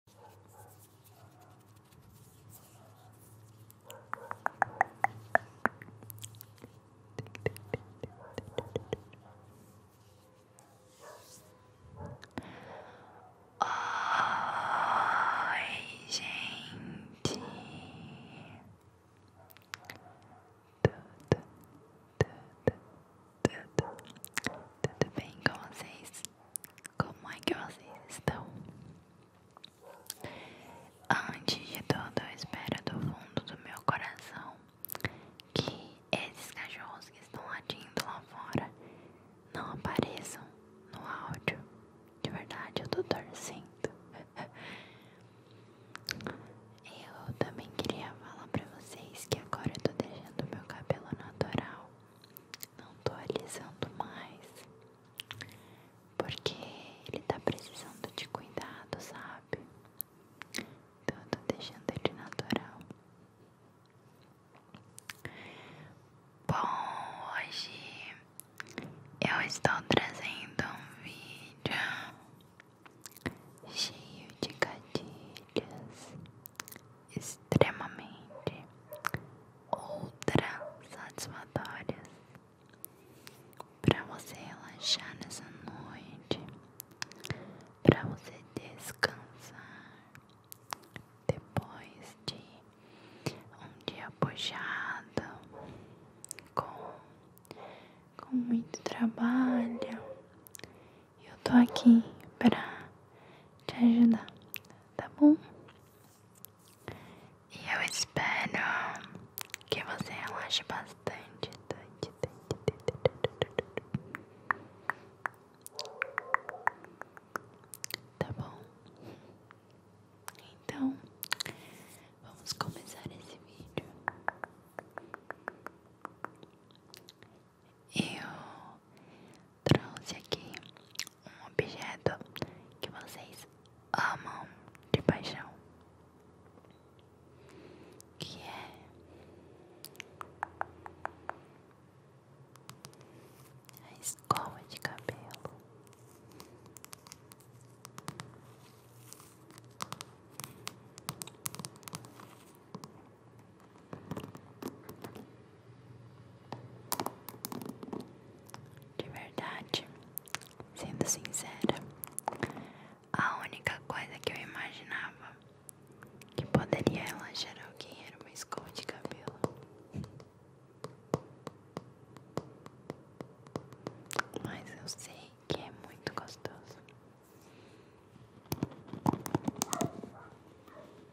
Oi, gente, tudo, tudo, tudo, tudo bem com vocês? Como é que vocês estão? Antes de tudo, eu espero do fundo do meu coração que esses cachorros que estão latindo lá fora não apareçam no áudio. De verdade, eu tô torcendo. Eu também queria falar pra vocês que agora eu tô deixando meu cabelo natural não tô alisando mais, porque ele tá precisando de cuidado, sabe? Então eu tô deixando ele natural. Bom, hoje eu estou trazendo um vídeo cheio de gatilhos extremamente ultra satisfatórias para você relaxar nessa noite, para você descansar depois de um dia puxado com, com muito trabalho eu tô aqui pra te ajudar, tá bom? E eu espero que você relaxe bastante. Tá bom? Então, vamos começar esse vídeo eu trouxe aqui um objeto que vocês amam de paixão, que é a escova de cabelo. De verdade, sendo sincera, a única coisa que eu imaginava que poderia relaxar alguém era uma escova de cabelo. Mas eu sei que é muito gostoso.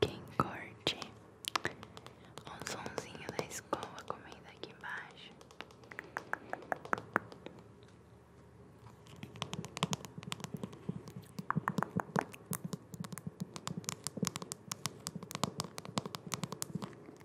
Quem corte um sonzinho da escola, comenta aqui embaixo.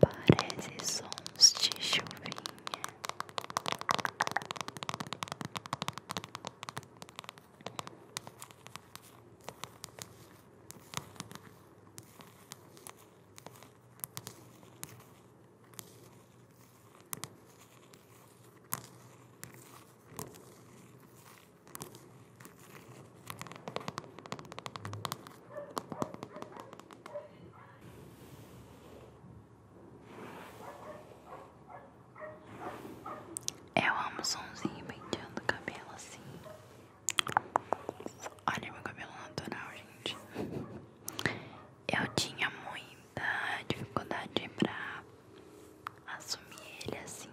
Parece sons de chuvinha. Eu é amo o somzinho penteando o cabelo assim. Olha meu cabelo natural, gente. Eu tinha muita dificuldade pra assumir ele assim.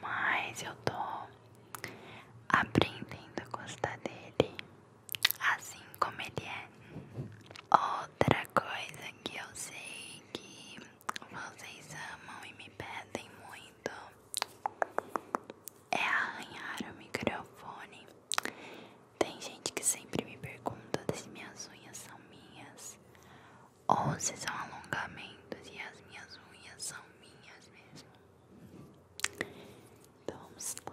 Mas eu tô aprendendo a gostar dele assim como ele é. Outra coisa que eu sei que vocês amam e me pedem muito é arranhar o microfone. Tem gente que sempre me pergunta se minhas unhas são minhas ou se são alongamentos e as minhas unhas são minhas mesmo. Então vamos lá.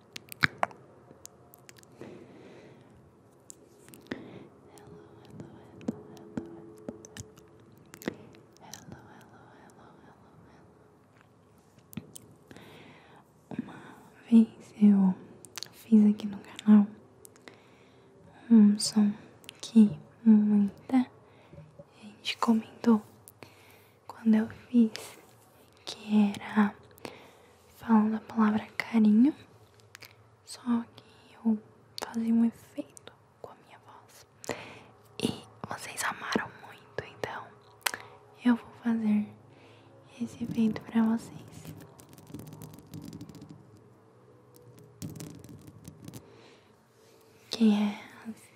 hello, hello, hello. Uma vez eu fiz aqui no canal um som que muita gente comentou quando eu fiz, que era falando a palavra carinho, só que eu fazia um efeito com a minha voz. E vocês amaram muito, então eu vou fazer esse efeito para vocês. Que é assim.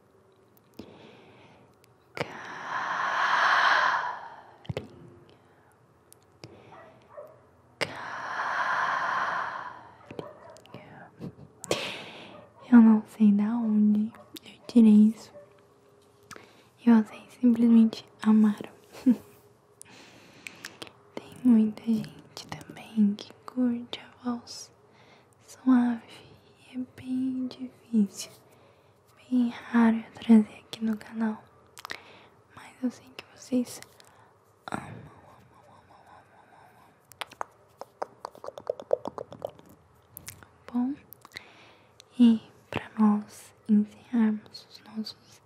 Carinha. Eu não sei da onde eu tirei isso. Eu sei simplesmente amaram. Tem muita gente também que curte a voz suave e é bem difícil, bem raro eu trazer aqui no canal. Mas eu sei que vocês amam, amam, amam, amam, amam. amam, amam. Bom, e para nós encerrarmos os nossos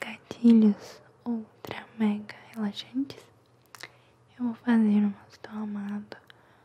gatilhos ultra mega relaxantes, eu vou fazer o nosso tomado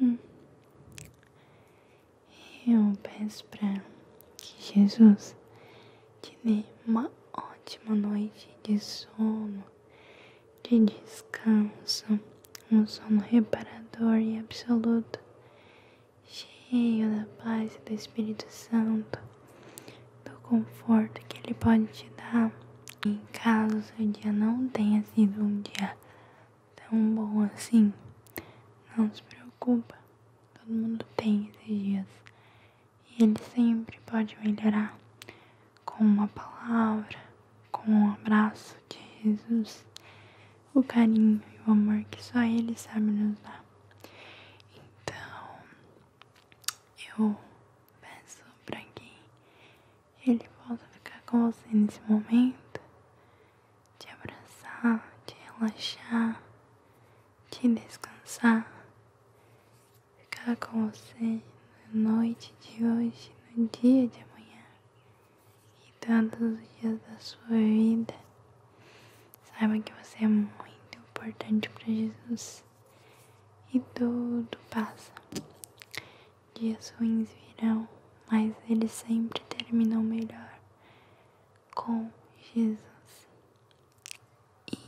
Bom, eu peço para que Jesus te dê uma ótima noite de sono, de descanso, um sono reparador e absoluto, cheio da paz e do Espírito Santo, do conforto que Ele pode te dar. em caso o seu dia não tenha sido um dia tão bom assim. Não se preocupa, todo mundo tem esses dias. E ele sempre pode melhorar com uma palavra, com um abraço de Jesus, o carinho e o amor que só ele sabe nos dar. Então, eu peço para quem ele volta ficar com você nesse momento, te abraçar, te relaxar, te descansar, ficar com você na noite de hoje, no dia de amanhã e todos os dias da sua vida. Saiba que você é muito importante para Jesus e tudo passa. Dias ruins virão, mas ele sempre terminou melhor com Jesus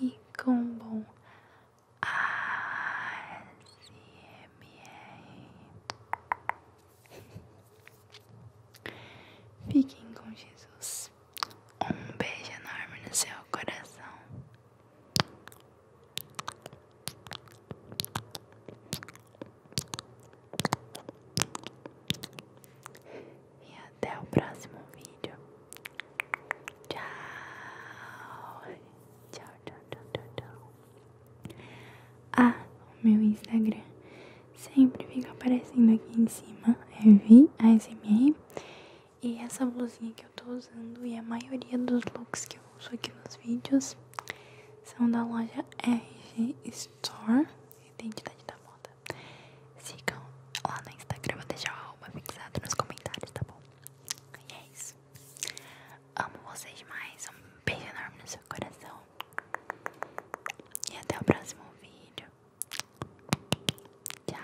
e com bom ASMR. Fiquem com Jesus. Um beijo enorme no seu coração. E até o próximo vídeo. Tchau. Tchau, tchau, tchau, tchau, tchau. Ah, o meu Instagram sempre fica aparecendo aqui em cima. Eu é vi a SMR. E essa blusinha que eu tô usando e a maioria dos looks que eu uso aqui nos vídeos são da loja RG Store, Identidade da Moda. Sigam lá no Instagram, vou deixar o arroba fixado nos comentários, tá bom? E é isso. Amo vocês demais, um beijo enorme no seu coração. E até o próximo vídeo. Tchau.